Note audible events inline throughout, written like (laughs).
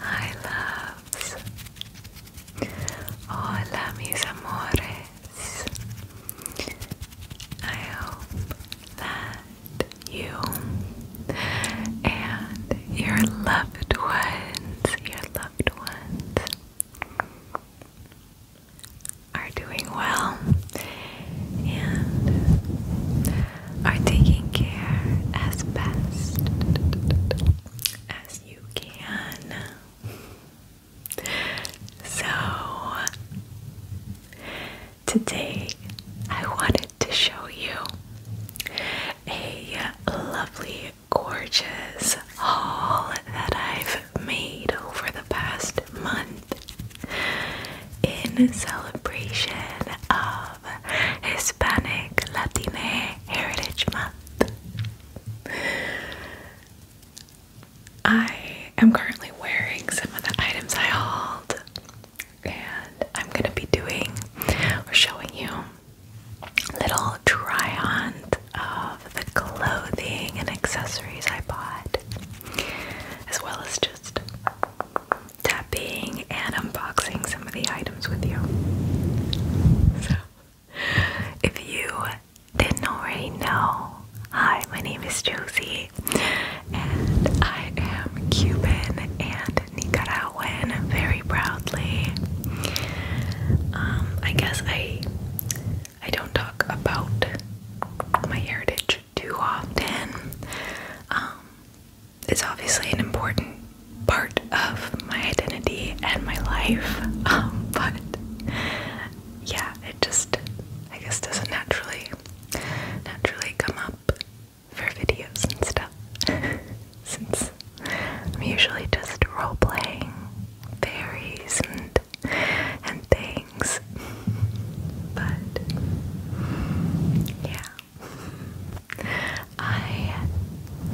Hi loves. Hola mis amores. I hope that you and your loved ones, your loved ones are doing well and are taking care as best as you can. So, today I wanted to show you a lovely, gorgeous haul that I've made over the past month in celebration of Hispanic Latine Heritage Month. I am currently wearing some of the items I hauled, and I'm going to be doing or showing you little try ons of the clothing and accessories I bought, as well as just tapping and unboxing some of the items with you. So, if you didn't already know, hi, my name is Josie, and I am Cuban and Nicaraguan very proudly. Um, I guess I I don't talk about my heritage too often. Um, it's obviously an important part of my identity and my life, (laughs) um, but yeah, it just, I guess, doesn't naturally, naturally come up for videos and stuff, (laughs) since I'm usually just role playing fairies and and things, (laughs) but yeah. I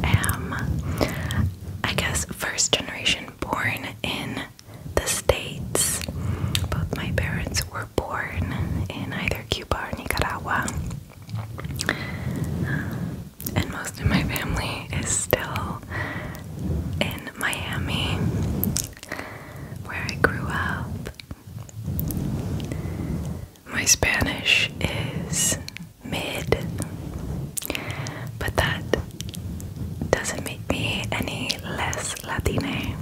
am, I guess, first generation born in the States. Both my parents were born in either Cuba or Nicaragua. And most of my family is still in Miami, where I grew up. My Spanish is mid, but that doesn't make me any less Latina.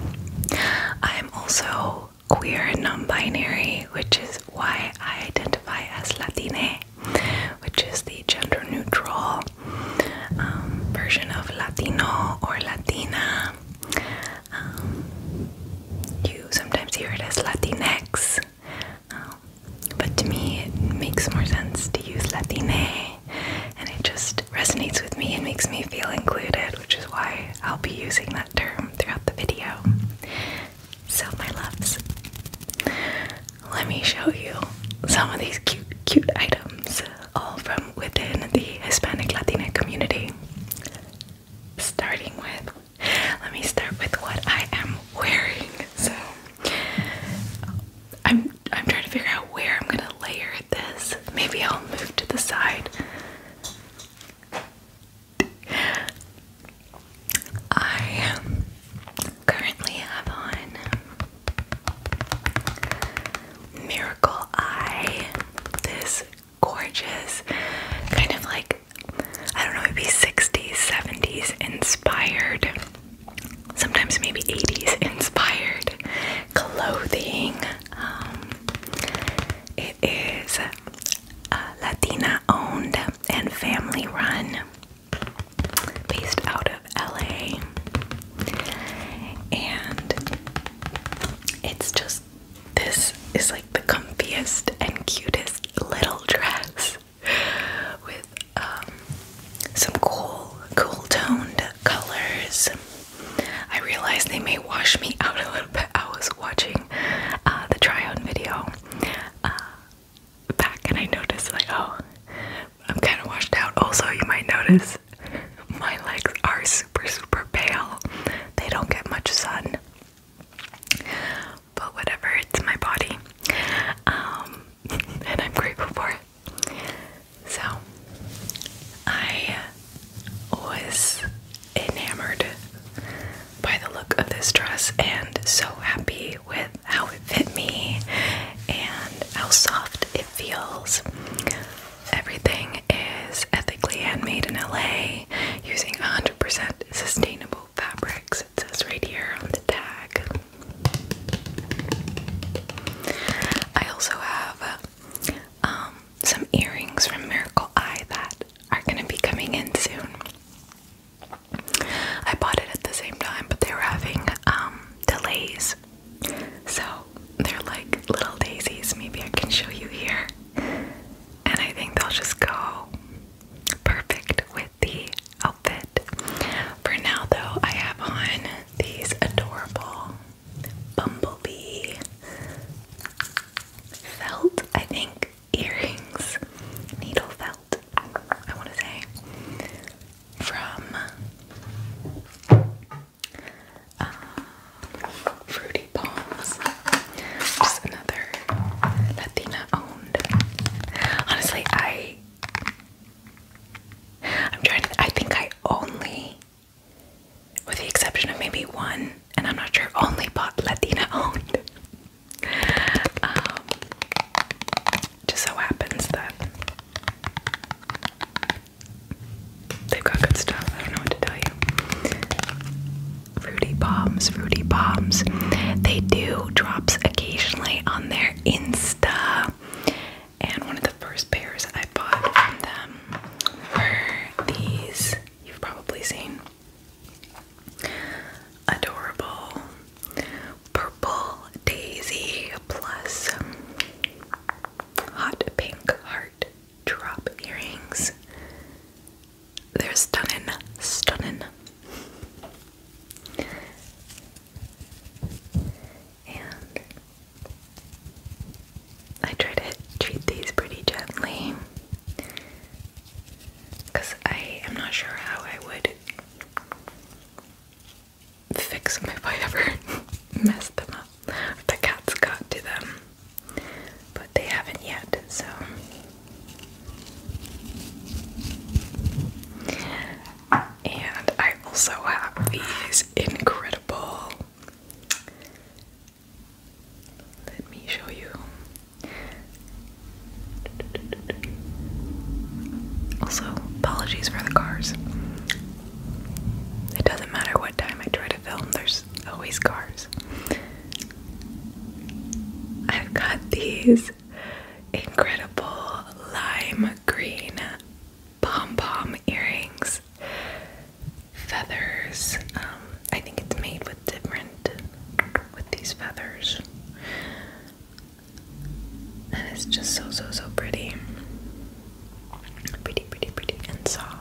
I am also queer and non binary, which is why I identify as Latina, which is the gender neutral um, version of Latino or Latina. Um, you sometimes hear it as Latinx, um, but to me it makes more sense to use Latina, and it just resonates with me and makes me feel included, which is why I'll be using that term throughout the video. So, my loves, let me show you some of these cute, cute items, all from within the Hispanic Latina community. Starting with let me start with what I am wearing. So I'm I'm trying to figure out where I'm gonna layer this. Maybe I'll move to the side. I currently have on Miracle Eye, this gorgeous, kind of like I don't know, maybe 60s, 70s inspired, sometimes maybe 80s inspired clothing. Um, it is uh, Latina owned and family run, based out of LA, and it's just this is like the comfiest and cutest little dress with um, some cool, cool toned colors. I realized they may wash me out a little bit. I was watching uh, the try on video uh, back and I noticed, like, oh, I'm kind of washed out. Also, you might notice my legs are super, super pale, they don't get much sun. But whatever, it's my body. Um, (laughs) and I'm grateful for it. So, I was enamored by the look of this dress and so happy with how it fit me and how soft it feels. Everything is ethically handmade in LA using 100 100% sustainable fabrics. It says right here on the tag. I also have uh, um, some earrings from Miracle Eye that are going to be coming in soon. I bought it at the same time, but they were having um, delays. So they're like little daisies. Maybe I can show you here and I think they'll just go perfect with the outfit. For now, though, I have on these adorable bumblebee felt, I think, earrings, needle felt, I want to say, from. Uh, Fruity. Just another Latina owned. Honestly, I I'm trying I think I only with the exception of maybe one, and I'm not sure only bought Latina owned. Um, just so happens that they've got good stuff. I don't know what to tell you. Fruity Bombs, Fruity Bombs. They do drops occasionally on their Insta. And one of the first pairs I bought from them were these. You've probably seen adorable purple daisy plus hot pink heart drop earrings. They're stunning, stunning. And I try to treat these pretty gently I am not sure how I would fix them if I ever (laughs) messed them up. The cats got to them. But they haven't yet, so. And I also have these incredible. Let me show you. Also, apologies for the cars. It doesn't matter what time I try to film, there's always cars. I've got these incredible lime green pom pom earrings, feathers. Um, I think it's made with different, with these feathers. And it's just so, so, so pretty. Pretty, pretty, pretty, and soft.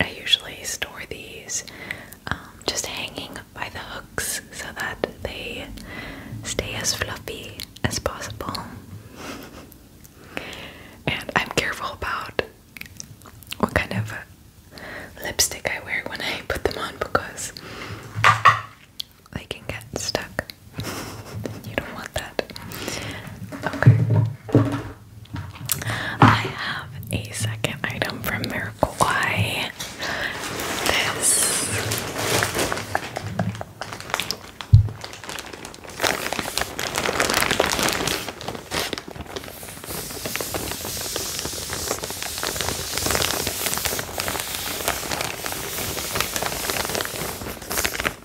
I usually store these um, just hanging by the hooks so that they stay as fluffy as possible. and I'm careful about what kind of lipstick I wear when I put them on because they can get stuck. (laughs) you don't want that. Okay. I have a second item from Miracle Y. This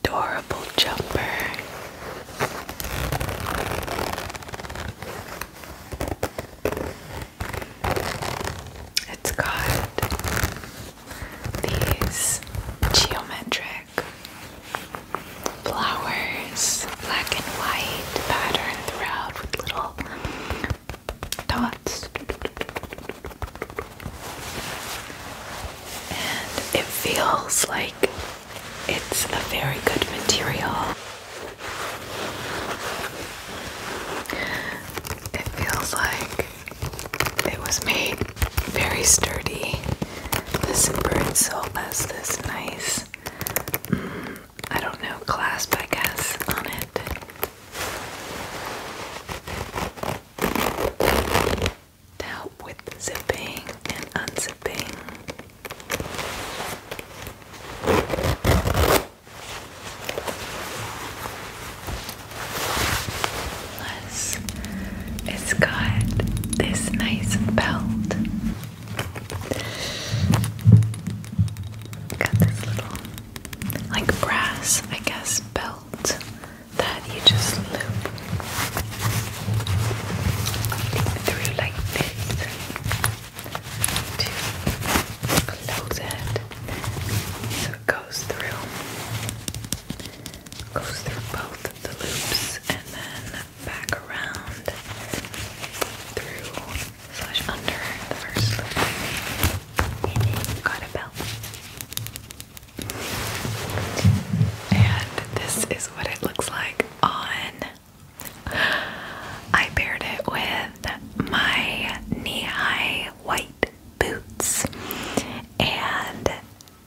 adorable jumper. It's got these geometric flowers, black and white pattern throughout with little dots. And it feels like it's a very good material. It feels like it was made very sturdy. This bird sole has this nice, mm, I don't know, clasp, I guess, on it to help with zipping and unzipping. Plus, it's got this nice belt. Got this little, like brass, I guess, belt that you just loop through like this to close it so it goes through goes through both the loops and then back around through slash under the first loop and then got a belt and this is what it looks like on. I paired it with my knee-high white boots and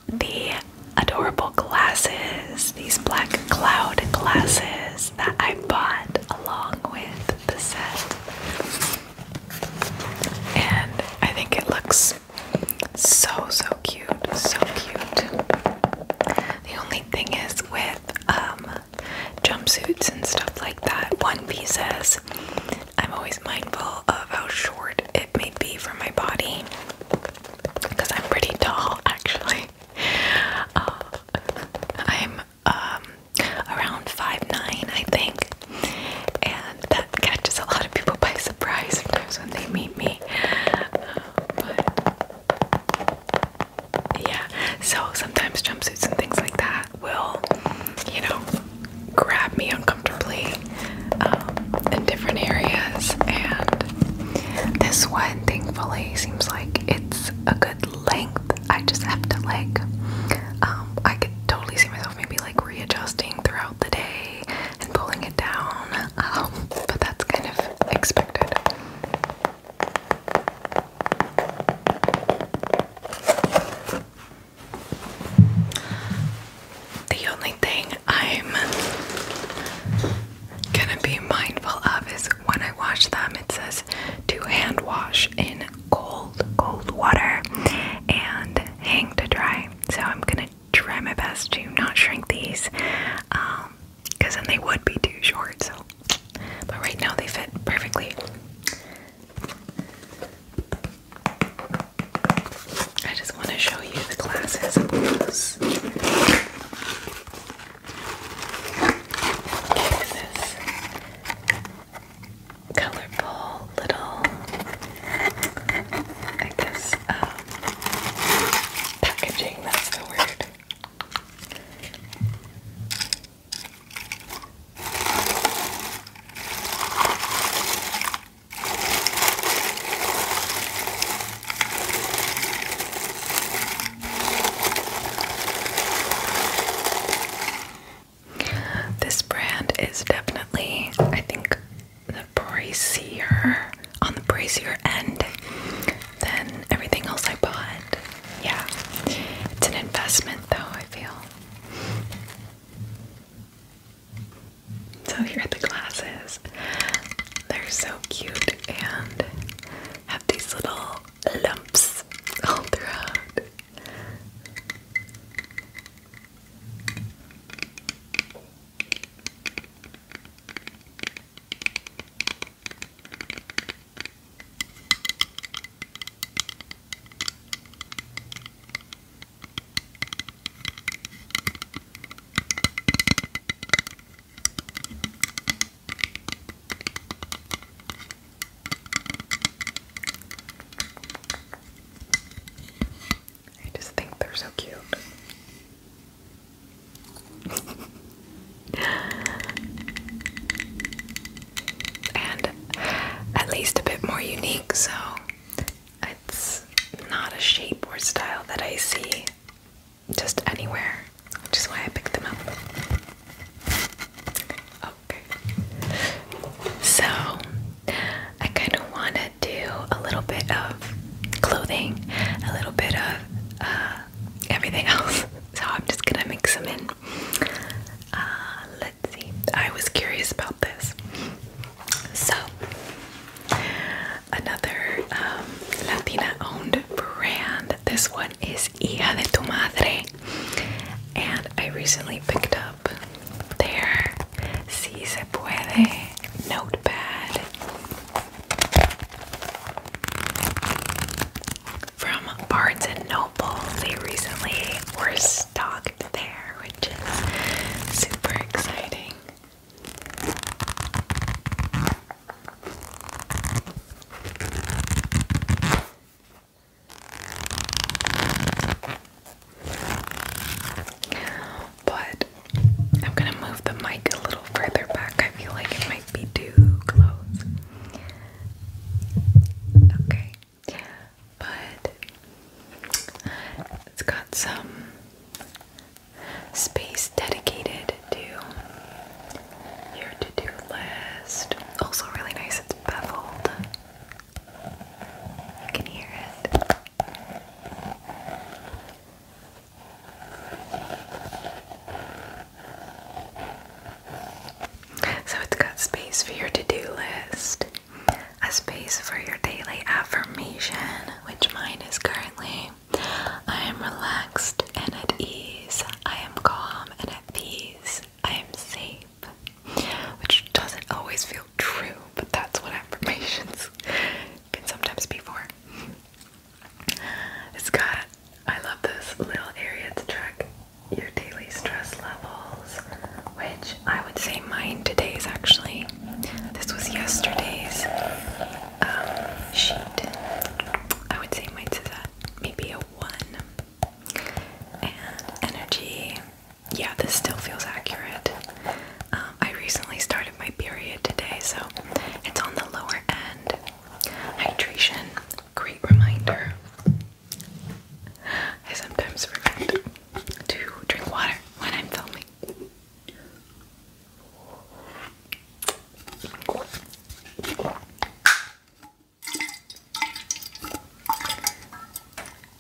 the adorable glasses, these black cloud glasses that I bought along with the set. And I think it looks so, so so cute, so cute. The only thing is with um, jumpsuits and stuff like that, one pieces, I'm always mindful of how short it may be for my body because I'm pretty tall (laughs) actually. Uh, I'm um, around 5'9, I think, and that catches a lot of people by surprise sometimes when they meet me yeah, so sometimes jumpsuits and things like that will, you know, grab me uncomfortably um, in different areas. And this one, thankfully, seems like it's a good length. I just have to like, um, I could totally see myself maybe like readjusting throughout the day pulling it down, um, but that's kind of expected. The only thing I'm gonna be mindful of is when I wash them, it says to hand wash in cold, cold water and hang to dry. So I'm gonna try my best to not shrink these. Um, because then they would be too short. So, but right now they fit perfectly. I just want to show you the glasses and This colorful little, I guess, um, packaging, that's the word. This brand is definitely, I think, the brazier, on the brazier end than everything else I bought. Yeah, it's an investment though, I feel. So here are the glasses. They're so cute and have these little lumps all throughout. I just think they're so cute and at least a bit more unique, so it's not a shape or style that I see just anywhere, which is why I picked them up. Okay. So, I kind of want to do a little bit of clothing, a little bit of uh, everything else. (laughs) So I'm just gonna mix them in. Uh, let's see. I was curious about this. So another um, Latina-owned brand. This one is Hija de tu Madre, and I recently picked up their Si Se Puede notepad. From Barnes and Noble, they recently were stocked there, which is super exciting. But I'm gonna move the mic a little further back. I feel like it might be too close. Okay. But it's got some space dedicated to your to-do list. Also really nice, it's beveled. You can hear it. So it's got space for your to do list, a space for your daily affirmation, which mine is currently I am relaxed and at ease, I am calm and at peace, I am safe. Which doesn't always feel true, but that's what (laughs) affirmations can sometimes be for. It's got, I love this little area to track your daily stress levels, which I would say mine today's actually. This was yesterday's um, sheet. I would say mine's is at maybe a one. And energy, yeah, this still feels accurate. Um, I recently started my period today, so it's on the lower end hydration. Great reminder. I sometimes forget to drink water when I'm filming.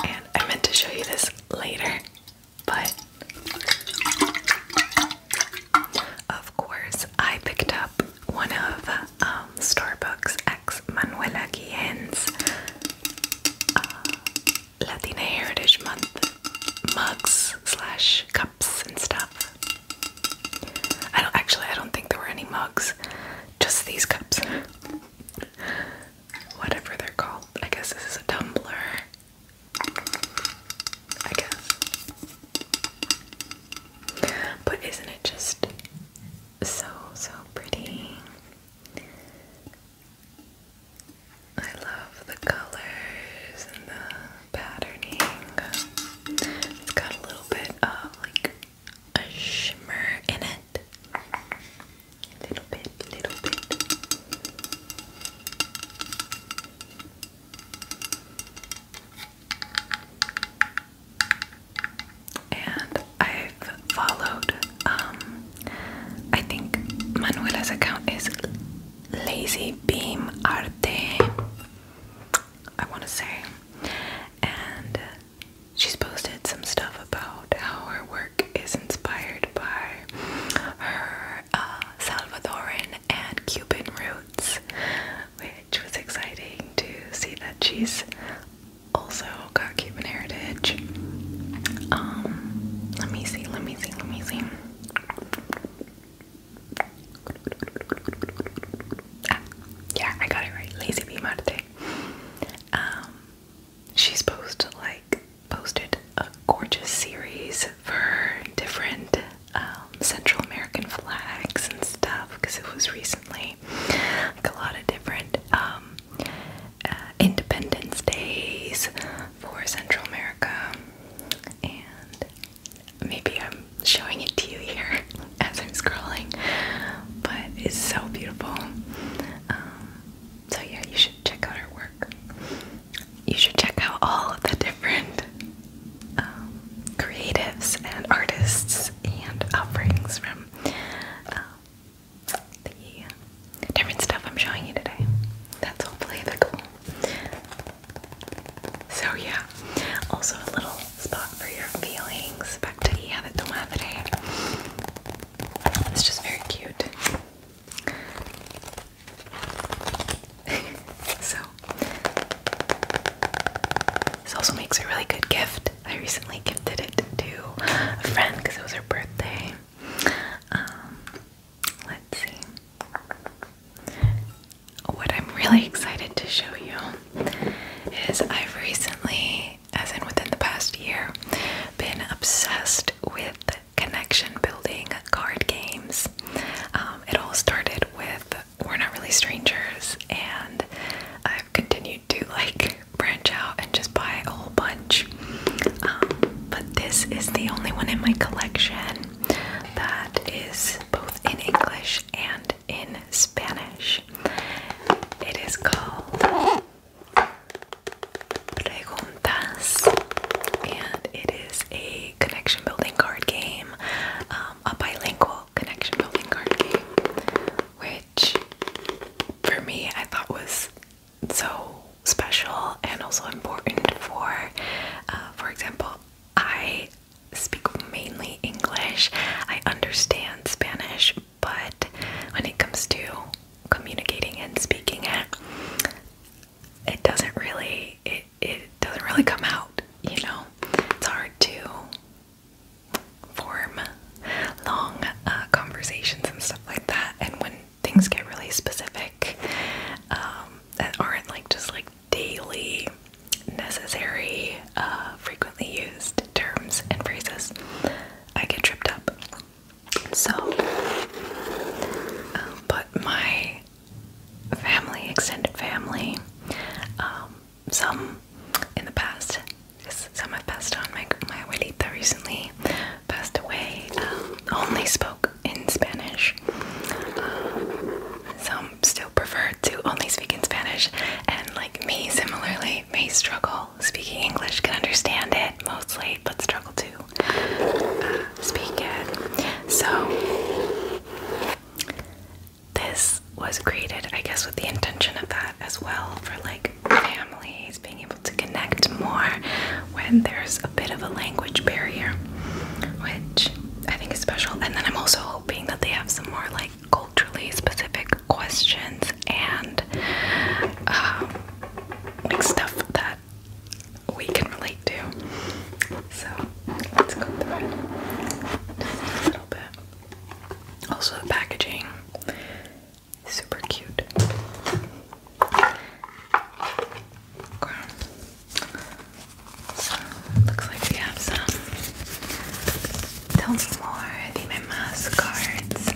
And I meant to show you this later, but of course, I picked up one of um, Starbucks ex Manuela Guillen's uh, Latina Heritage Month mugs slash cups and stuff. I don't actually. I don't think there were any mugs, just these cups. (laughs) Whatever they're called. I guess this is a tumbler. I But isn't it just so, so pretty? I love the colors and the patterning. It's got a little bit of like a shimmer in it. A little bit, little bit. And I've followed, um, I think Manuela's account is Lazy Beam Arte, I want to say. And she's posted some stuff about how her work is inspired by her uh, Salvadoran and Cuban roots, which was exciting to see that she's also got Cuban heritage. Um, let me see, let me see, let me see. Ah, yeah, I got it right. Lazy B Marte. Um, she's posted like posted a gorgeous series for different um, Central American flags and stuff because it was recently like a lot of different um, uh, Independence Days for Central America, and maybe I'm showing it to you here (laughs) as I'm scrolling, but it's so beautiful. Um, so yeah, you should check out her work. You should check out all the different um, creatives and artists and offerings from um, the different stuff I'm showing you today. That's hopefully the cool. So yeah, also a little spot for your feelings. Back to Ia de tu madre. It's just very cute. (laughs) so this also makes a really good gift. I recently gifted it to a friend because it was her birthday. Um, let's see. What I'm really excited to show you is I've recently, as in within the past year, been obsessed with connection building card games. Um, it all started with we're not really strangers, and I've continued to like branch out and just buy a whole bunch. Um, but this is the only one in my collection that is both in English and in Spanish. It is called Preguntas, and it is a connection building card game, um, a bilingual connection building card game, which for me I thought was so special and also important for, uh, for example, I speak mainly English. I understand Spanish, but when it comes to communicating and speaking it, it doesn't really. It it, doesn't really come out, you know? It's hard to form long uh, conversations and stuff like that. And when things get really specific um, that aren't like just like daily necessary, uh, frequently used terms and phrases, I get tripped up. So, um, but my family, extended family. Um, some in the past, some have passed on. My my that recently passed away. Um, only spoke in Spanish. Um, some still prefer to only speak in Spanish, and like me, similarly, may struggle speaking English. Can understand it mostly, but struggle to uh, speak it. So this was created, I guess, with the intention of that as well for like families being able to connect more when there's a bit of a language barrier, which I think is special. And then I'm also hoping that they have some more like culturally specific questions and um, like stuff that we can relate to. So let's go through a little bit. Also, the packaging super cute. So looks like we have some. Tell me more. The my cards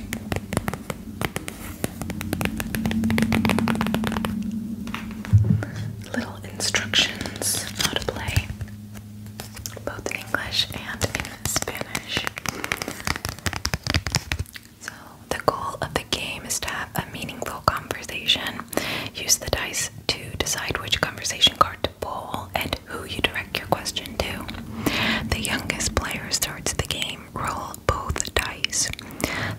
little instructions how to play, both in English and in Spanish. So, the goal of the game is to have a meaningful conversation. Use the dice to decide which conversation card to pull and who you direct your question to. The youngest player starts the game. Roll both dice.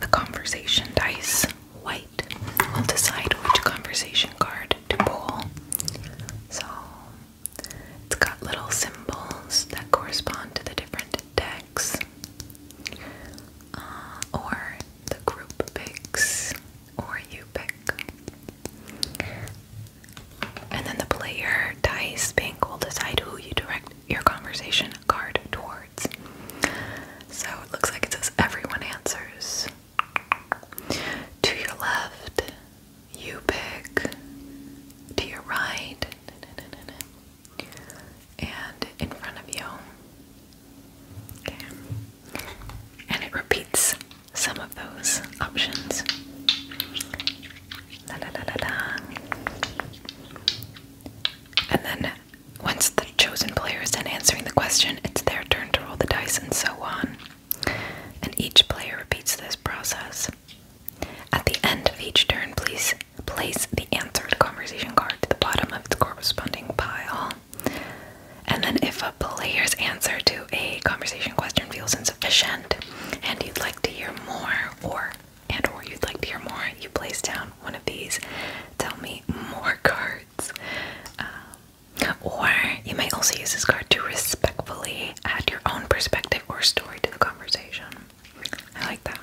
The conversation dice, white we will decide which conversation card to pull. So it's got little symbols that correspond to the different decks, uh, or the group picks, or you pick. And then the player dice bank will decide who you direct your conversation card towards. So it looks like it says everyone answers. To your left, you pick. To your right, and in front of you. Okay. And it repeats some of those options. Da, da, da, da, da. And then once the chosen players and answering the question, it's their turn to roll the dice, and so on. And each player repeats this process. At the end of each turn, please place the answered conversation card to the bottom of the corresponding pile. And then, if a player's answer to a conversation question feels insufficient, and you'd like to hear more, or and or you'd like to hear more, you place down one of these. Tell me more cards. Um, or you might also use this card to respectfully add your own perspective or story to the conversation. I like that.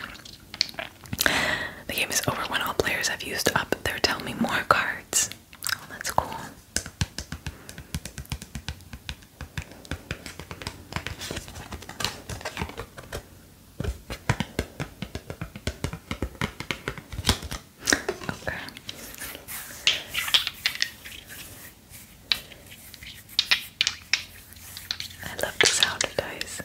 The game is over when all players have used up their tell me more cards. Oh, that's cool. Okay. I love sound dice.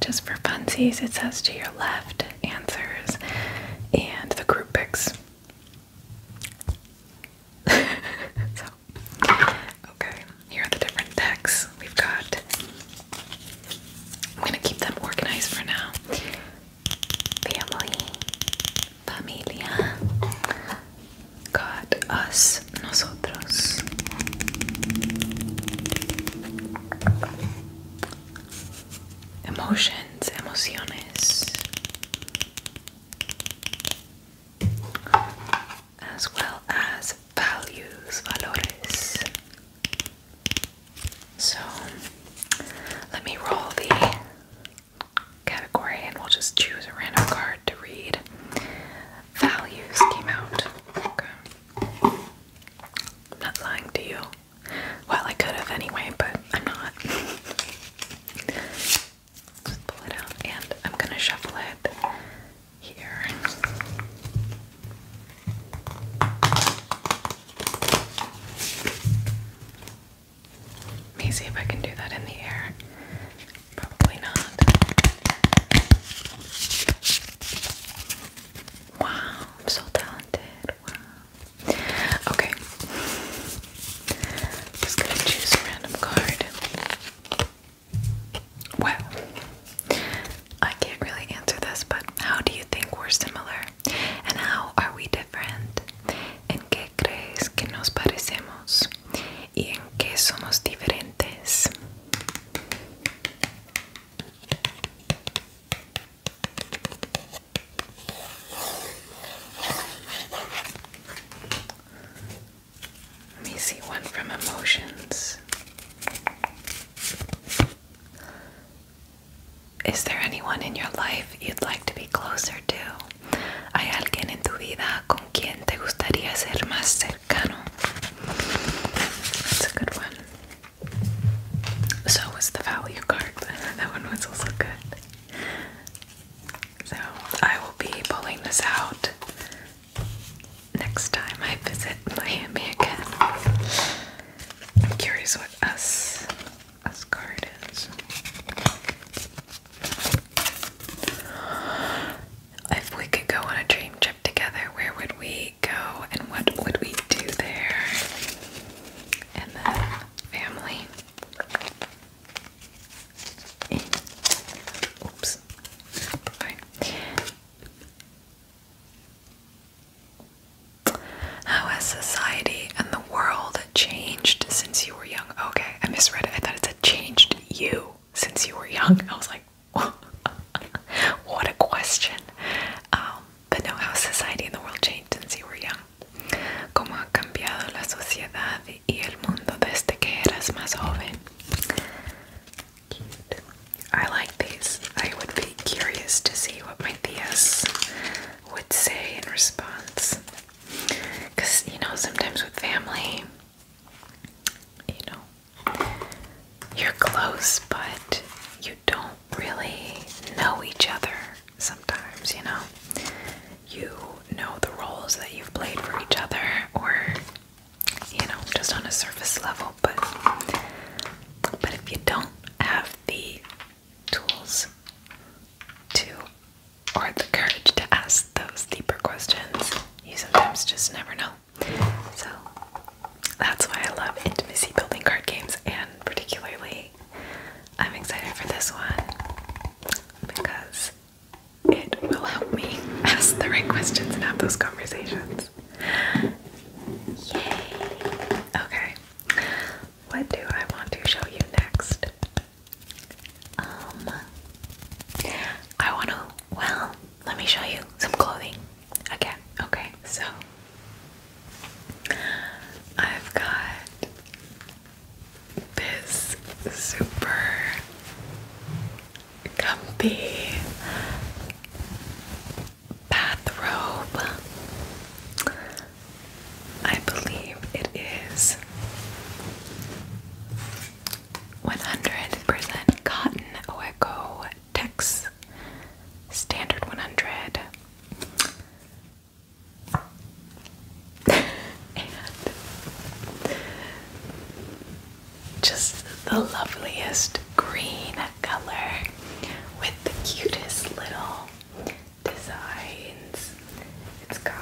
Just for funsies, it says to your left answers and the group picks. (laughs) so, okay, here are the different decks we've got. I'm gonna keep them organized for now. Family, familia, got us, nosotros emotions, emociones, as well as values, valores. So let me roll the category and we'll just choose a random card to read. Values came out. not lying to you. Well, I could have anyway, but I'm not. Just pull it out and I'm gonna shuffle it here. Let me see if I can do that in the air. Probably not. Wow, I'm so talented. Wow. Okay. Just gonna choose a random card. Well, I can't really answer this, but how do you think we're similar? And how are we different? ¿En qué crees que nos parecemos? ¿Y en qué somos diferentes? Let me see one from emotions. Is there anyone in your life you'd like to be closer to? ¿Hay alguien en tu vida con quien te gustaría ser más cercano? That's a good one. So was the value card, but (laughs) that one was also good. So I will be pulling this out next time I visit Miami again. I'm curious what us us card is. If we could go on a dream trip together, where would we go and what would we do there? And then family. Oops. How has society and the world changed since you were young? Okay, I misread it. I thought it said changed you since you were young. I was like, (laughs) what a question. Um, but now how society and the world changed since you were young. Cómo ha cambiado la sociedad y el mundo desde que eras más I like these. I would be curious to see what my tias would say in response. Because, you know, sometimes with family, you know, you're close, but you don't really know each other sometimes, you know? You know the roles that you've played for each other, or, you know, just on a surface level, but, but if you don't have the tools to, or the courage to ask those deeper questions, you sometimes just never know. So, that's why I love intimacy building card games, and particularly, I'm excited for this one because it will help me (laughs) ask the right questions and have those conversations. Yay! Okay, what do I want to show you next? Um, I want to, well, let me show you some clothing again. Okay, so I've got this super comfy bathrobe. I believe it is 100% cotton oeco Tex Standard 100. and just the loveliest green color with the cutest little designs. It's got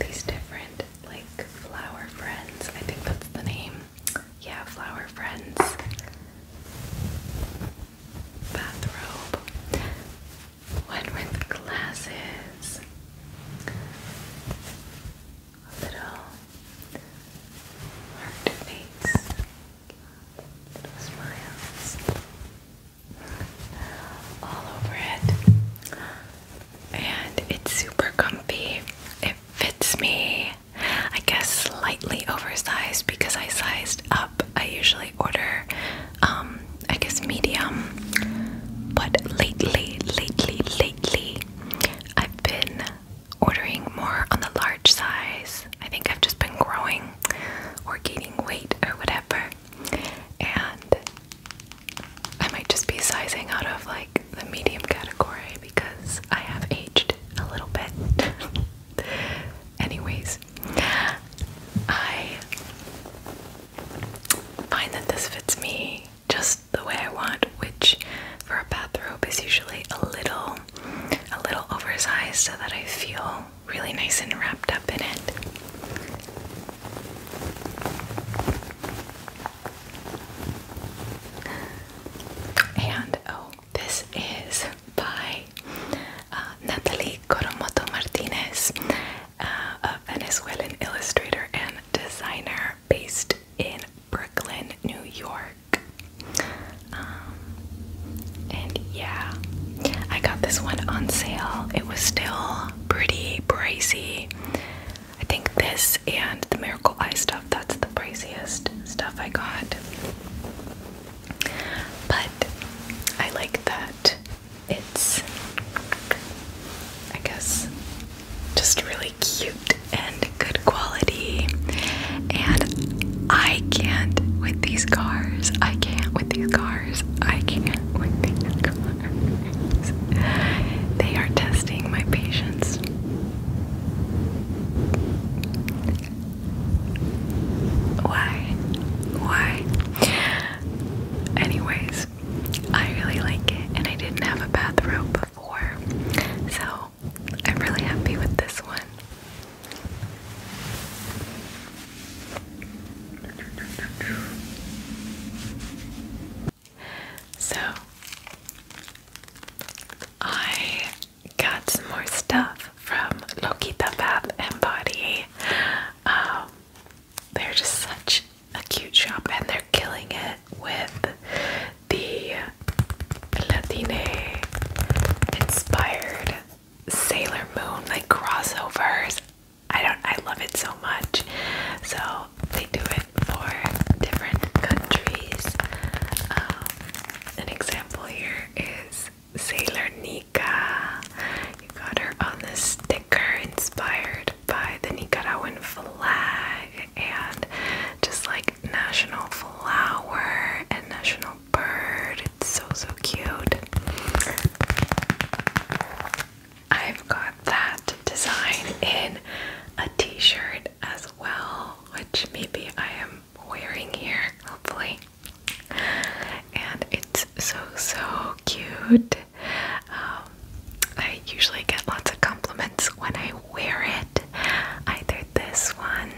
these different like flower friends. I think that's the name. Yeah, flower friends bathrobe, one with glasses, little heart smiles all over it, and it's super comfy. It fits me I guess slightly oversized because I sized up. I usually order, um, I guess medium, but lately, lately, lately, I've been ordering more on the large size. I think I've just been growing or gaining weight or whatever, and I might just be sizing out of like the medium category because I have aged a little bit. (laughs) Anyways, I find that this fits me just the way I want, which for a bathrobe is usually a little a little oversized so that I feel really nice and wrapped up in it. And oh, this is by uh, Natalie Coromoto Martinez, uh, a Venezuelan illustrator and designer based in Brooklyn, New York. Um, and yeah, I got this one on sale. It was still pretty pricey. I think this and the Miracle Eye stuff, that's the priciest stuff I got. But I like that it's, I guess, just really cute and good quality. And I can't with these cars. I can't with these cars. I can't with these (laughs) cars. They are testing my patience. Why? Why? Anyways, I really like it and I didn't have a bathrobe before, so I'm really happy with this one. So, I got some more stuff from Lokita Bath and Body. Um, they're just such a cute shop, and they're killing it with the Latine inspired Sailor Moon like crossovers. I don't. I love it so much. So they do it for different countries. Um, an example here is Sailor Nika. You got her on this sticker inspired by the Nicaraguan flag and just like national flower and national bird. It's so, so cute. I've got that design in a t shirt as well, which maybe I am wearing here, hopefully. And it's so, so cute. Um, I usually get lots of compliments when I wear it, either this one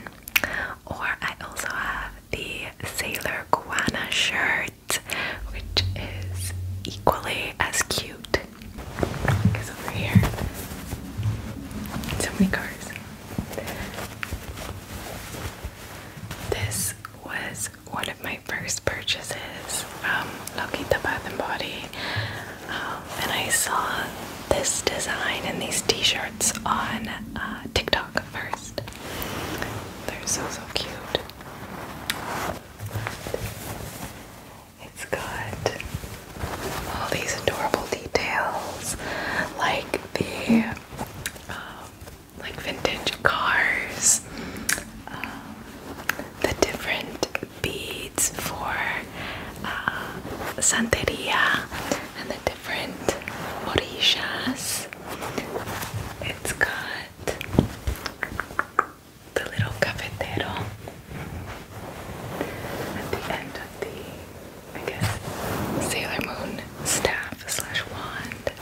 or I also have the Sailor Guana shirt, which is equally as cute. over here. So many cars. This was one of my first purchases from Lokita Bath and Body, um, and I saw this design and these T-shirts on uh, TikTok first. They're so so cute. It's got all these adorable details, like the um, like vintage cars, um, the different beads for uh, Santeria, and the different orishas. It's got the little cafetero at the end of the I guess, Sailor Moon staff slash wand.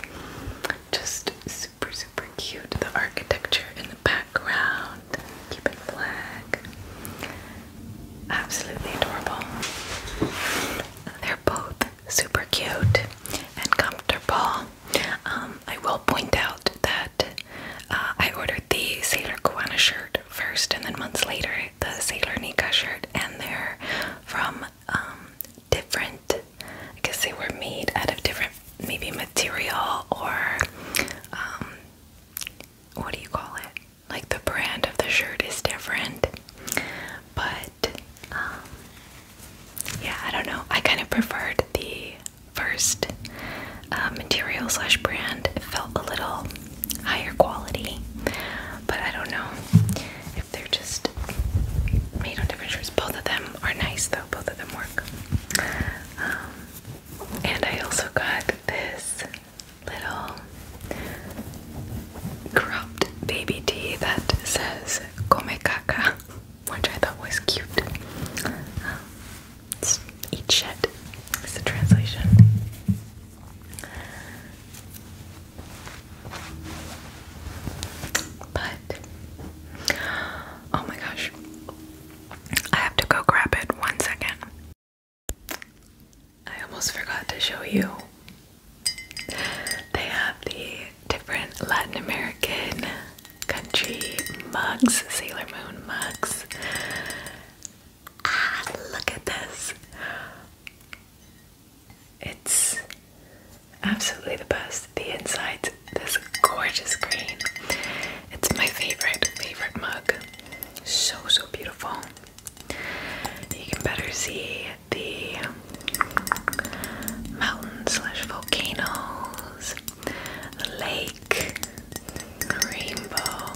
Just super, super cute. The architecture in the background, keeping flag. Absolutely adorable. They're both super cute and comfortable. Um, I will point out that uh, I ordered the Sailor Kiwana shirt first, and then months later, the Sailor Nika shirt, and they're from um, different. I guess they were made out of different, maybe material or um, what do you call it? Like the brand of the shirt is different, but um, yeah, I don't know. I kind of preferred the first uh, material slash brand. It felt a little higher quality, but I don't know they're just made on different shirts. Both of them are nice though, both of them work. Um, and I also got this little cropped baby tee that says Come which I thought was cute. Um, eat shit is the translation. But oh my gosh. I have to go grab it one second. I almost forgot to show you. They have the different Latin American country mugs, Sailor Moon mugs. Ah, look at this. It's absolutely the best. The inside, this gorgeous green. It's my favorite, favorite mug. So, so beautiful. You can better see the mountains slash volcanoes, the lake, rainbow.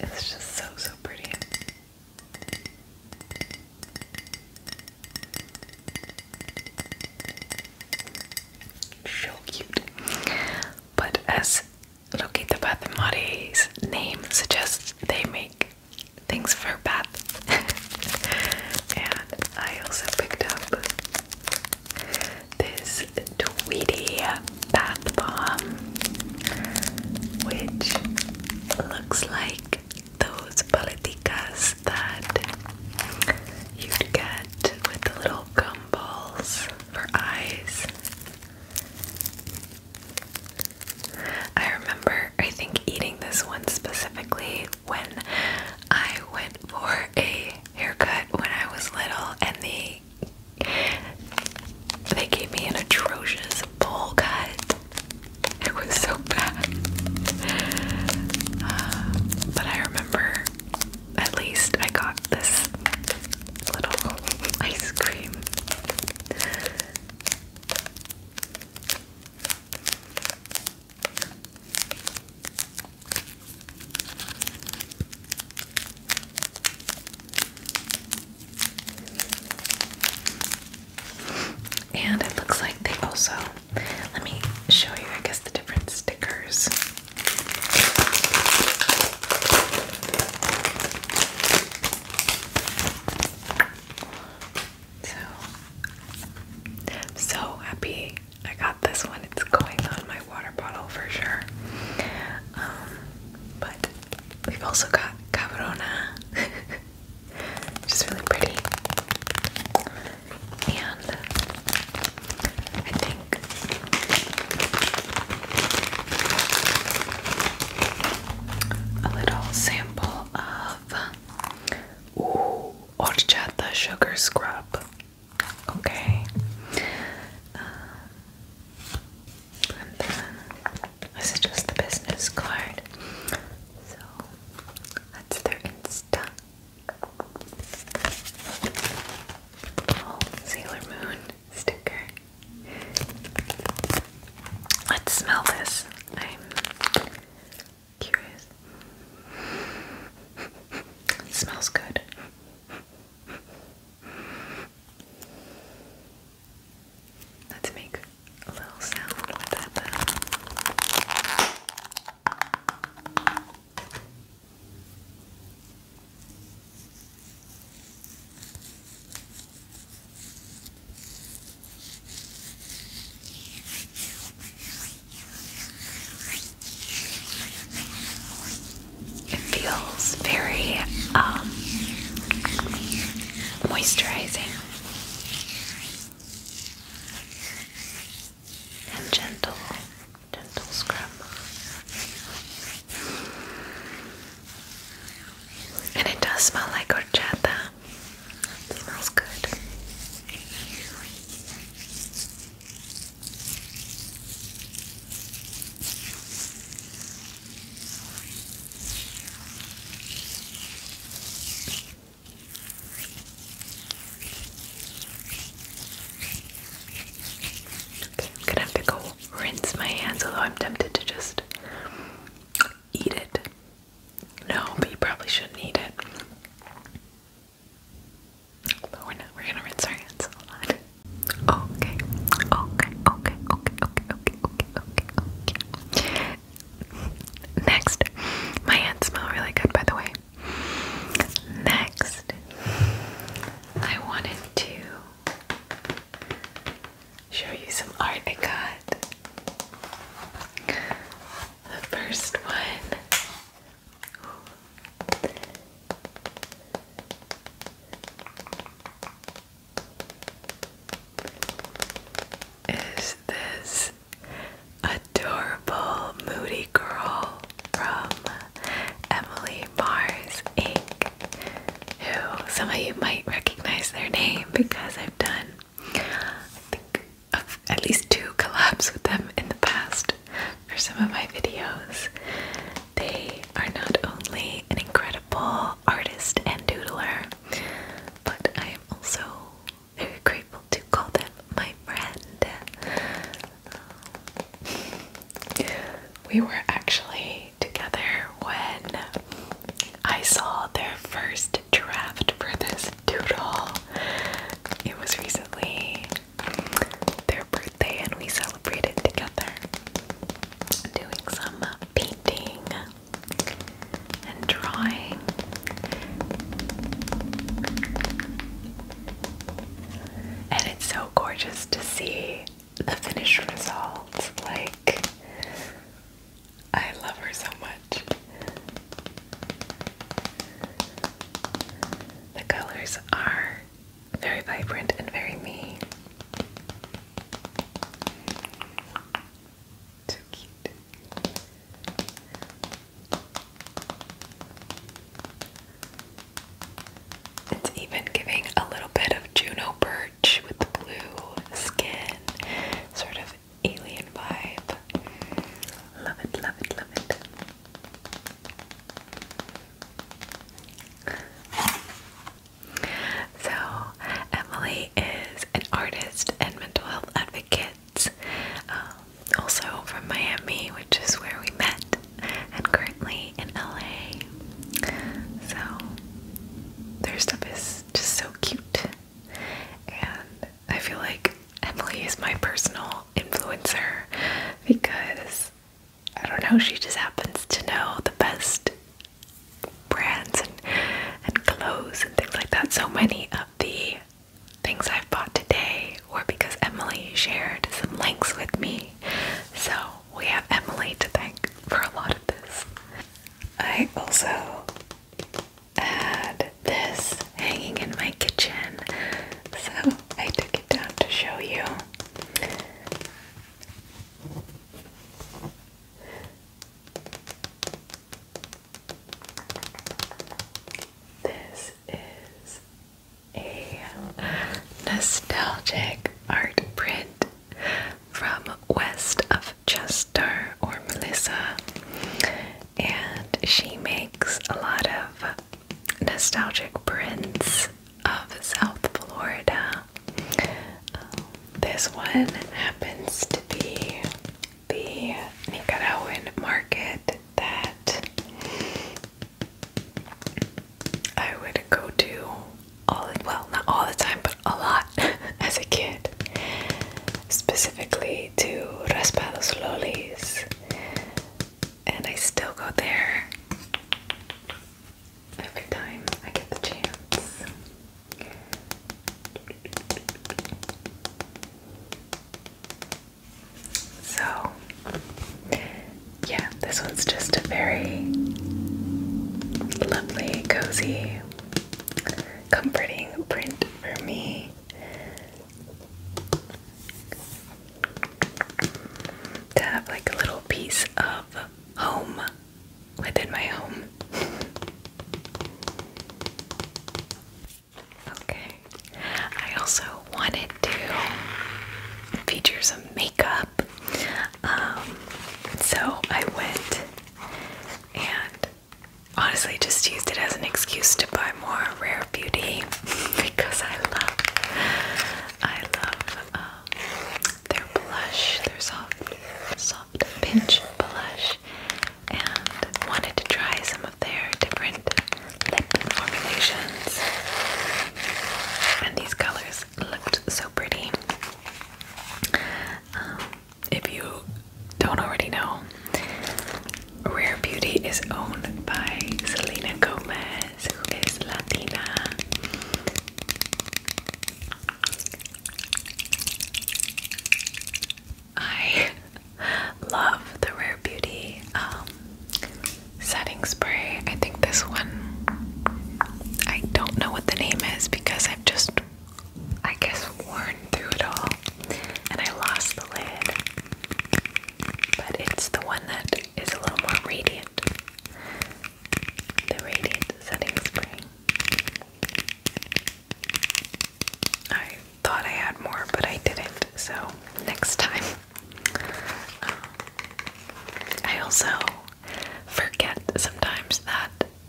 It's just so, so pretty. So cute. But as Lokita Bathimari's name suggests, they make things for bath. (laughs) and I also picked up this Tweety bath bomb, which looks like those politicas that you'd get with the little gum balls for eyes. I remember, I think, eating this one specifically when I went for a haircut when I was little, and they they gave me an atrocious bowl cut. It was so bad. Uh, but I remember at least I got this little ice cream. And it looks like they also, let me show you, I guess, the different stickers. So, so happy I got this one. It's going on my water bottle for sure. Um, but we've also got Cabrona. (laughs) which really pretty. And I think a little sample of ooh, horchata sugar scrub. Okay. Uh, this is just the business card. So that's their Insta. Oh, Sailor Moon sticker. Let's smell this. I'm curious. smells good. Let's make a little sound with that It feels very um, moisturizing and gentle, gentle scrub. And it does smell like horchata. smells good. I'm gonna have to go rinse my hands, although I'm tempted to just eat it. No, but you probably shouldn't eat it. But we're not, we're gonna rinse our hands. Hold on. okay, okay, okay, okay, okay, okay, okay, okay. Next, my hands smell really good, by the way. Next, I wanted to show you some art I got. The first one. Is this adorable moody girl from Emily Mars Inc., who some of you might recognize their name because I've done I think, at least two collabs with them in the past for some of my videos. They are not only an incredible artist and doodler, but I am also very grateful to call them my friend. we were actually together when I saw their first draft for this doodle. It was recently their birthday, and we celebrated together doing some painting and drawing. And it's so gorgeous to see the finished results. Like, I love her so much. The colors are very vibrant and very me. Too cute. It's even giving a little bit of Juno Birch with the blue skin, sort of alien vibe. Love it, love it, love it. So, Emily is an artist and mental health advocate, um, also from Miami, which is where we met, and currently in LA. So their stuff is just so cute, and I feel like Emily is my personal influencer because I don't know, she just happens to know the best brands and, and clothes and things like that. So many of the things I've bought today were because Emily shared some links with me. So we have Emily to thank for a lot of this. I also had this hanging in my kitchen, so I took it down to show you. This is a nostalgic art print from West of Chester or Melissa, and she makes a lot of nostalgic prints of South Florida. Um, this one happens to be the Nicaraguan market that I would go to all the, well, not all the time, but a lot (laughs) as a kid. Specifically to Raspados Lolis, and I still go there every time I get the chance. So, yeah, this one's just a very lovely, cozy, comforting print for me. To have like a little piece of home within my home. (laughs) Okay. I also wanted to feature some makeup. Um, so I went and honestly just used it as an excuse to buy more Rare Beauty (laughs) because I love I love um, their blush, their soft soft pinch blush and wanted to try some of their different lip formulations. And these colors looked so pretty. Um, if you don't already know, Rare Beauty is owned by Selena Gomez, who is Latina. I love the Rare Beauty um, setting spray. I think this one, I don't know what the name is because I've just, I guess, worn through it all and I lost the lid. But it's the one that is a little more radiant. The Radiant Setting Spray. I thought I had more, but I didn't, so next time. Um, I also forget sometimes that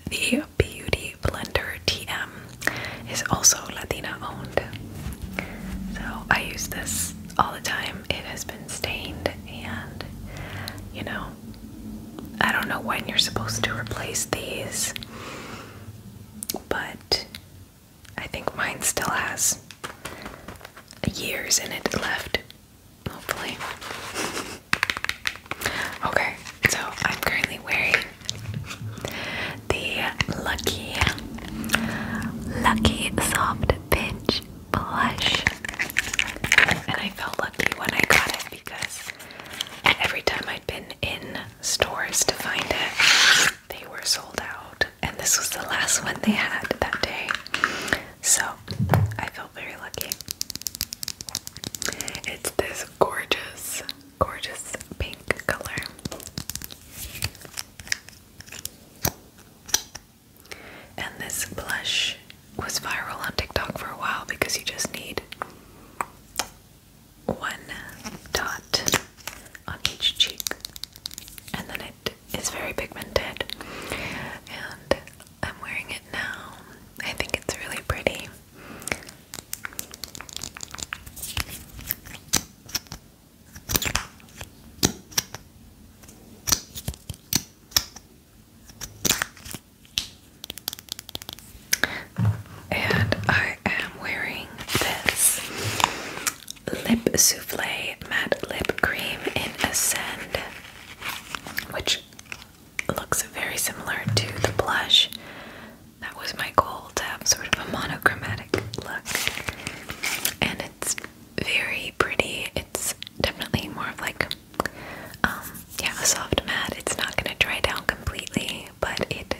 the Beauty Blender TM is also Latina owned. So I use this all the time. It has been stained, and you know, I don't know when you're supposed to replace these but I think mine still has years in it left, hopefully. (laughs) Okay, so I'm currently wearing the Lucky, Lucky Soft Pinch Blush. And I felt lucky when I got it because every time I been in stores to find it. They were sold out, and this was the last one they had that day. So I felt very lucky. It's this gorgeous, gorgeous pink color. And this blush was viral on TikTok for a while because you just need one dot on each cheek, and then it is very pigmented. And I'm wearing it now. I think it's really pretty. And I am wearing this Lip Souffle Matte Lip Cream in Ascend, which looks very similar to the blush. That was my goal to have sort of a monochromatic look. And it's very pretty. It's definitely more of like, um, yeah, a soft matte. It's not going to dry down completely, but it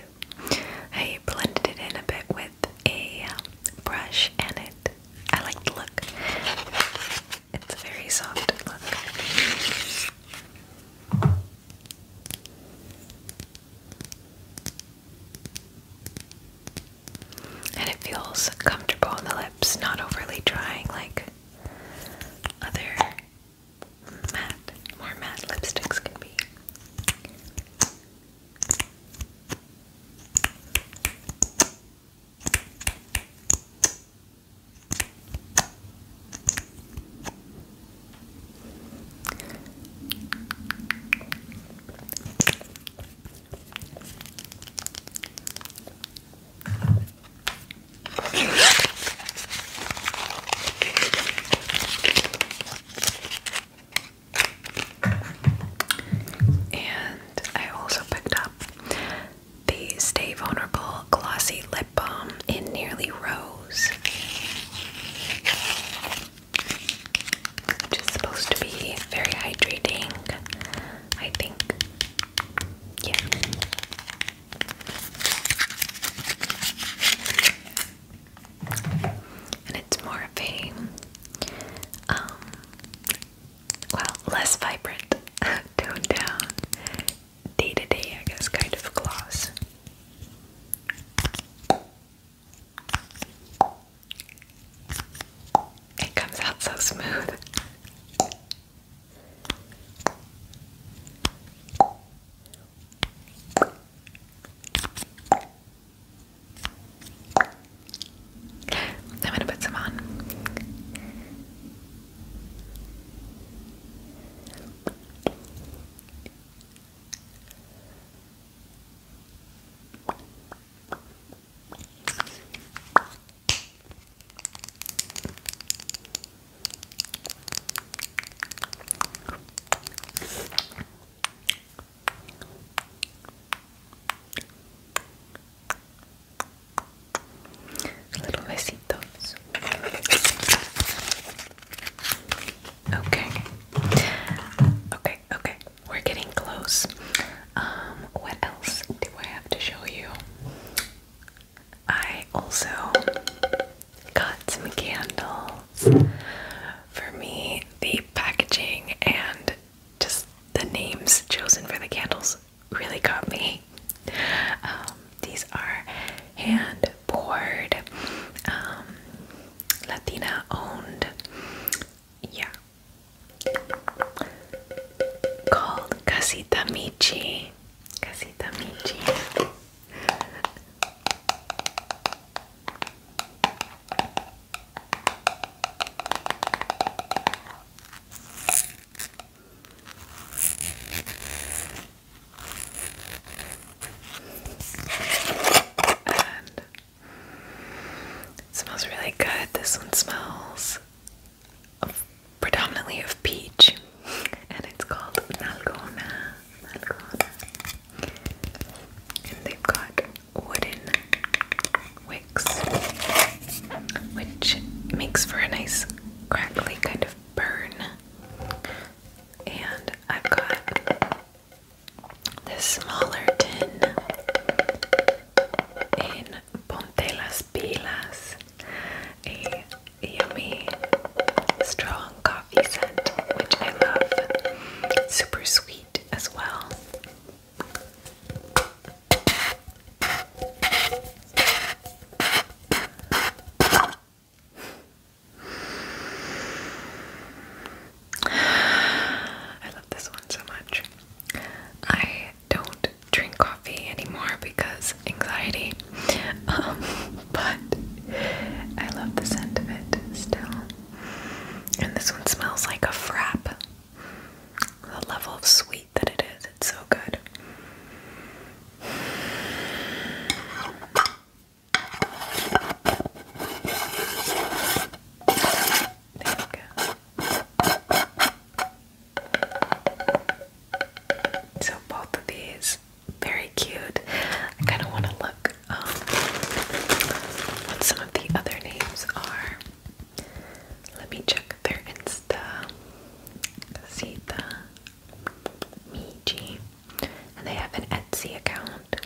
I blended it in a bit with a um, brush and it I like the look. It's a very soft look. And it feels comfortable on the lips, not overly drying like other matte, more matte lipsticks can be. And I also picked up the Stay Vulnerable Glossy Lip Balm in Nearly Rose, which is supposed to be very hydrating, I think. Yeah. And it's more of a, um, well, less vibrant, (laughs) toned down, day to day, I guess, kind of gloss. It comes out so smooth. I'm gonna put some on. Little besitos. Okay. Okay, okay. We're getting close. Um, what else do I have to show you? I also got some candles. For me, the packaging and just the names chosen for the candles really got me. Um, these are hand poured, um, Latina owned, yeah, called Casita Michi. Casita Michi it smells really good. This one smells predominantly of peach, and it's called Nalgona. And they've got wooden wicks, which makes for a nice crackly kind of burn. And I've got the smaller tin in Ponte Las Pilas, a yummy strong coffee scent, which I love. Super sweet as well. I love this one so much. I don't drink coffee anymore because anxiety. (laughs) Um, but I love the scent of it still. And this one smells like a frappe. The level of sweet that it is, it's so good. There we go. So both of these very cute. I kind of want to look um, what some of the other names are. Let me check their Insta. see Sita, Miji, and they have an Etsy account.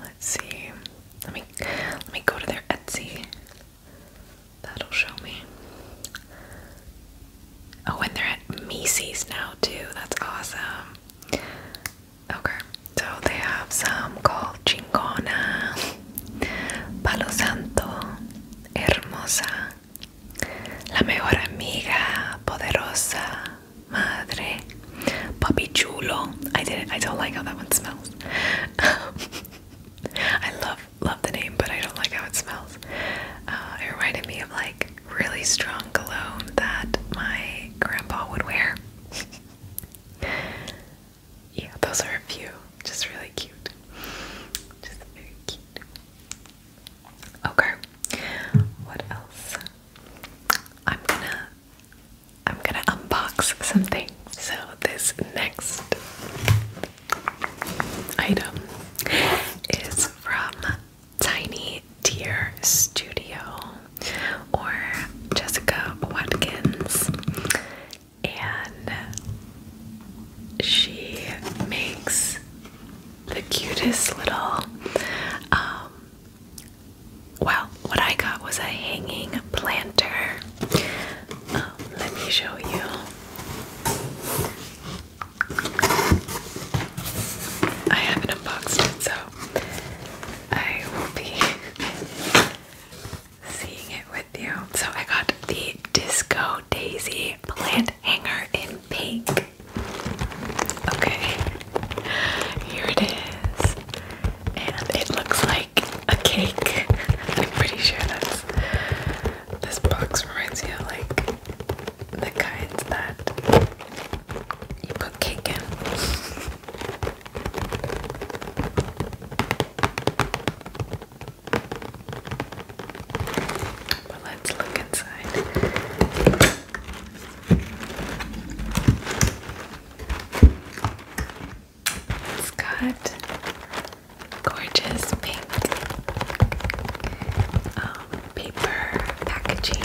Let's see. Let me let me go to their Etsy That'll show me. Oh, and they're at Macy's now, too. That's awesome. Okay, so they have some called Chingona, Palo Santo, Hermosa, La Mejor Amiga, Poderosa, Madre, Papi I didn't, I don't like how that one smells. (laughs) I love love the name, but I don't like how it smells. Uh, it reminded me of like really strong cologne that my grandpa would wear. (laughs) yeah, those are a few. Just really cute. Just very cute. Okay. What else? I'm gonna I'm gonna unbox something. So this next item is from Tiny Deer Studio or Jessica Watkins, and she makes the cutest little. Um, well, what I got was a hanging planter Oh, let me show you. I haven't unboxed it, so I will be seeing it with you. So I got the Disco Daisy plant hanger in pink. Okay, here it is. And it looks like a cake. (laughs) I'm pretty sure that's this box reminds me of like the kinds that you put cake in. (laughs) But let's look inside. It's got gorgeous pink um, paper packaging.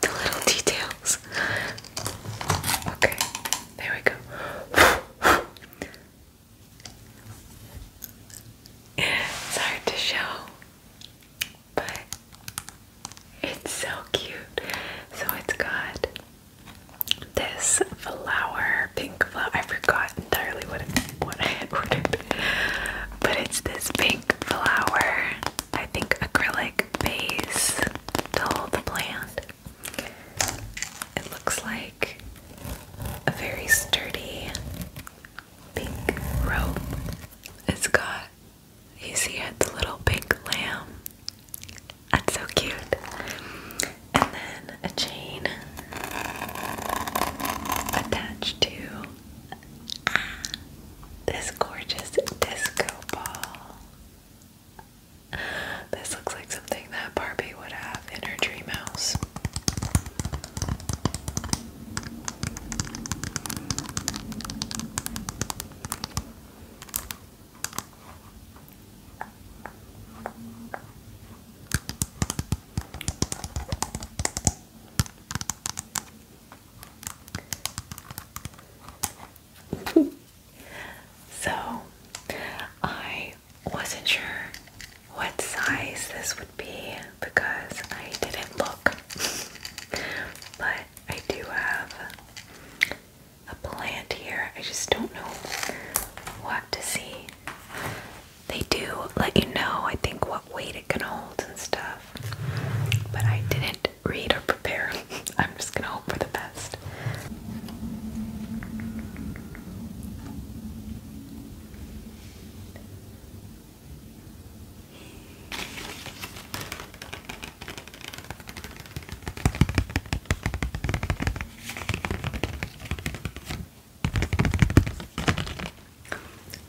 the little details. Okay, there we go. it's hard to show, but it's so cute. So it's got this flower, pink flower. I forgot entirely what what I had ordered, but it's this pink flower I think, acrylic base to hold the plant. It looks like a very sturdy pink rope. It's got, you see, it's little pink lamb. That's so cute. And then a chain attached to this gorgeous disco ball. This looks like something that Barbie would have in her dream house. (laughs) So I wasn't sure what size this would be because I didn't look. (laughs) but I do have a plant here. I just don't know what to see. They do let you know, I think, what weight it can hold and stuff. But I didn't read, or prepare. (laughs) I'm just gonna hope for the best.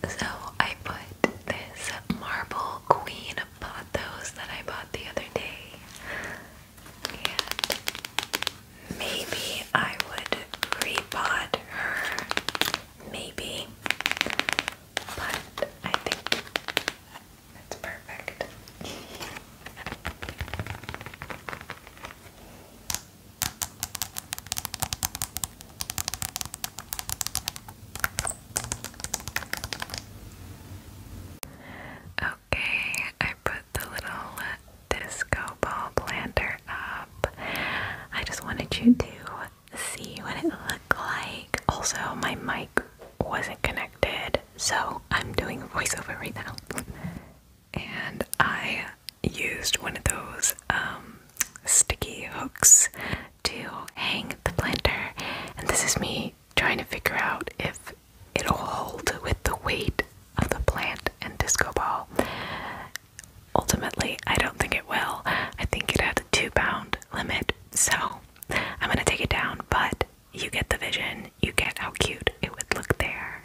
So I put this marble queen have bought those that I bought the other day. And maybe I would repod her. Maybe. But I think that's perfect. Okay, I put the little uh, disco ball planter up. I just wanted you to see what it looked like. Also, my mic wasn't connected, so I'm doing a voiceover right now. And I used one of those um, sticky hooks to hang the blender, and this is me trying to figure out if it'll hold with the weight of the plant and disco ball. Ultimately, I don't think it will. I think it had a two pound limit, so I'm gonna take it down, but you get the vision, you get how cute it would look there.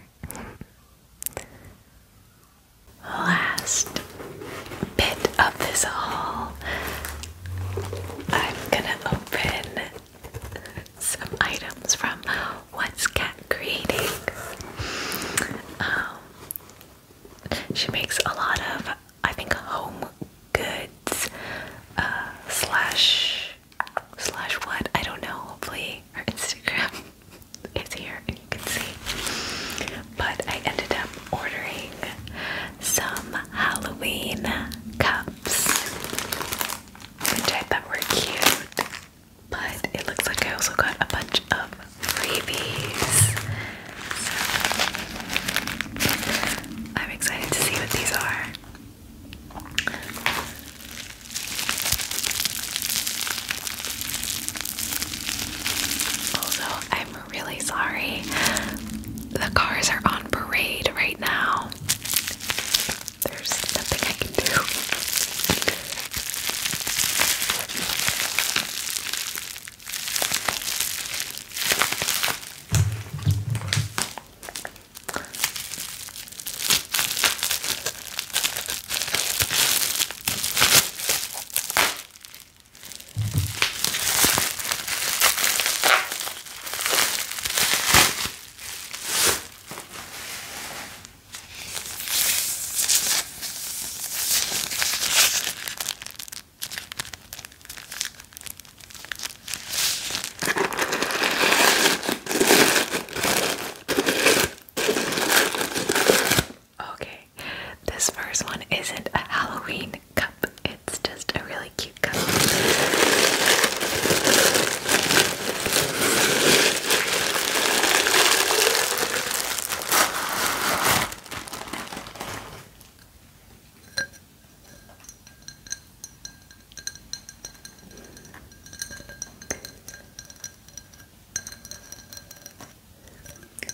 Last bit of this haul, I'm gonna open some items from What's Cat Creating. Um, she makes a lot of, I think, home goods uh, slash slash what I don't know. Hopefully, her Instagram (laughs) is here and you can see. But I ended up ordering some Halloween cups which I thought were cute. But it looks like I also got a bunch of freebies. I'm excited to see what these are. Also, I'm really sorry. The cars are on parade right now. There's nothing I can do. Okay, this first one isn't a Halloween it's just a really cute cup.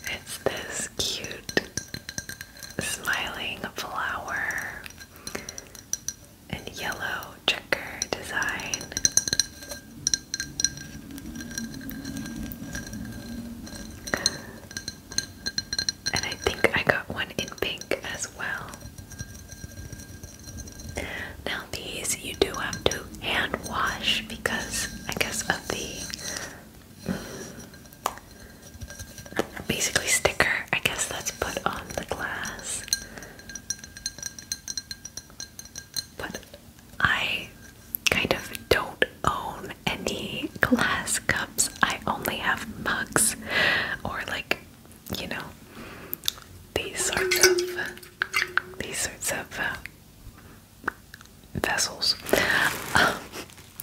It's this cute smiling flower and yellow checker design. And I think I got one in pink as well. Now, these you do have to hand wash because I guess of the mm, basically sticker, I guess that's put on the glass. But I kind of don't own any glass cups. I only have mugs or like, you know, these sorts of these sorts of uh, vessels. (laughs)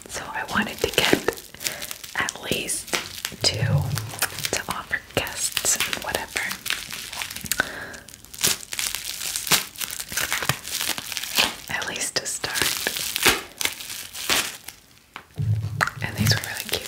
so I wanted to get at least two to offer guests and whatever. At least to start. And these were really cute.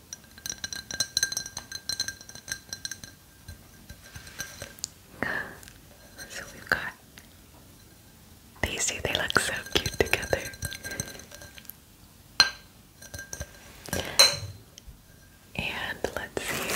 (sighs) So we've got these two, they look so cute together. And let's see.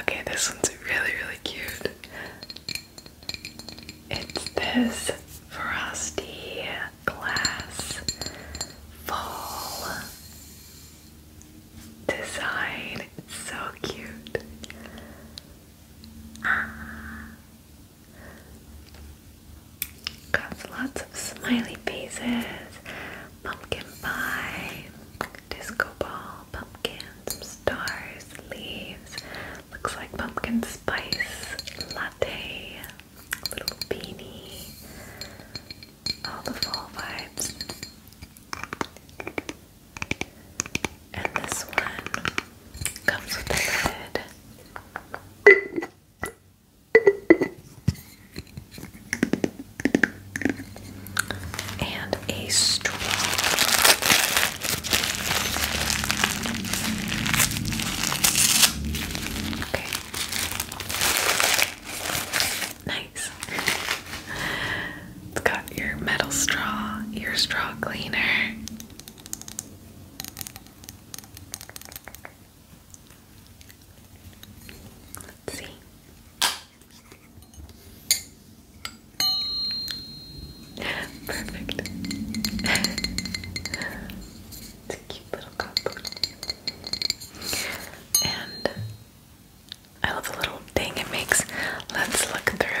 Okay, this one's really, really cute. It's this frosty glass fall design. so cute. Ah. Got lots of smiley faces, pumpkin pie, disco ball, pumpkin, some stars, leaves, looks like pumpkin spice, latte, little beanie, all the fall vibes. And this one comes with a lid and a straw. Okay. Nice. It's got your metal straw, your straw cleaner. Let's see. Perfect. it's a cute little cup. And I love the little thing it makes. Let's look through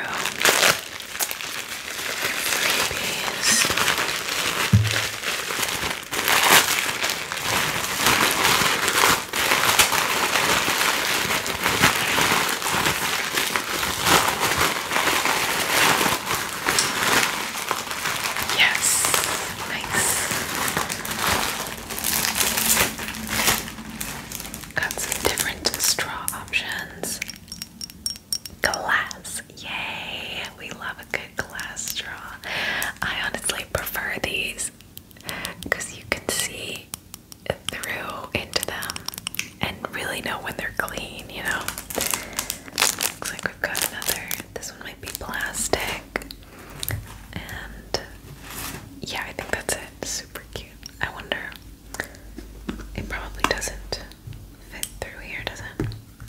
Yes, nice. Got some different straw options. Glass, yay! We love a good glass straw. I honestly prefer these because you can see through into them and really know when they're clean, you know? Looks like we've got another. This one might be plastic. And yeah, I think that's it. Super cute. I wonder. It probably doesn't fit through here, does it?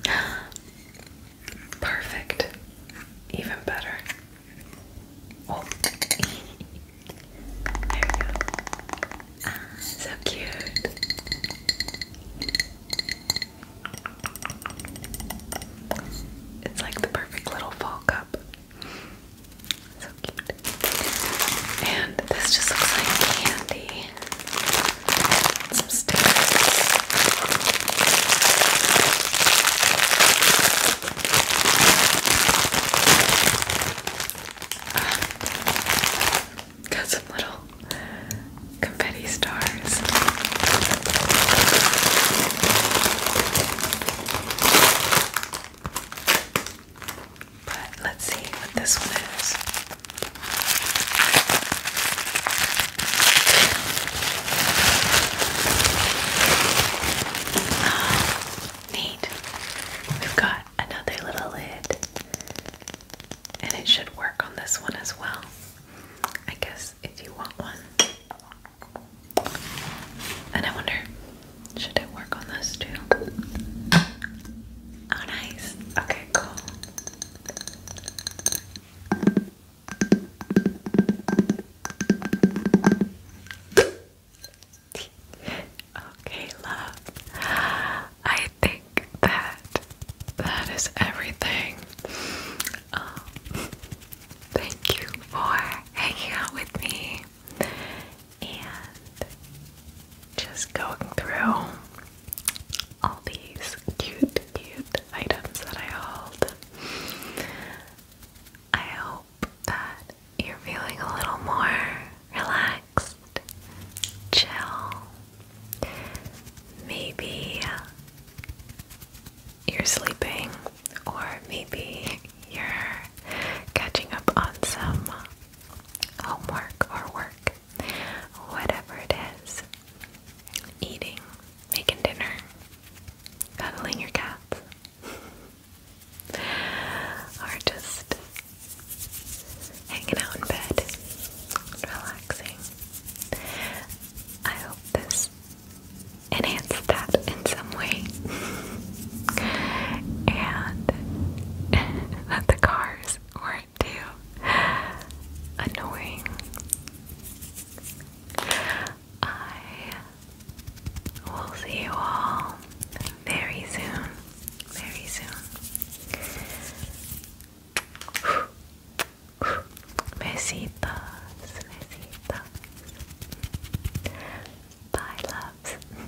(gasps) Perfect. Even better. Oh. there we go. Ah, so cute. It's like the perfect little fall cup. So cute. And this just looks like candy. Some stickers. (sighs) got some little confetti stars. But let's see what this one is. Neat. We've got another little lid. And it should work on this one as well. I guess if you want one. And I wonder, should it work on this too? Oh, nice. Okay, cool okay, love. I think that that is everything. Um, thank you for hanging out with me and just going through all these cute, cute items that I hold. I hope that you're feeling a little more relaxed, chill. Maybe you're sleeping, or maybe you're catching up on some homework or work, whatever it is. Eating, making dinner, cuddling your cats or just hanging out in bed, relaxing. I hope this enhanced that in some way, and (laughs) that the cars weren't too annoying. I will see you all very soon. Very soon. Besitos, besitos. Bye, loves.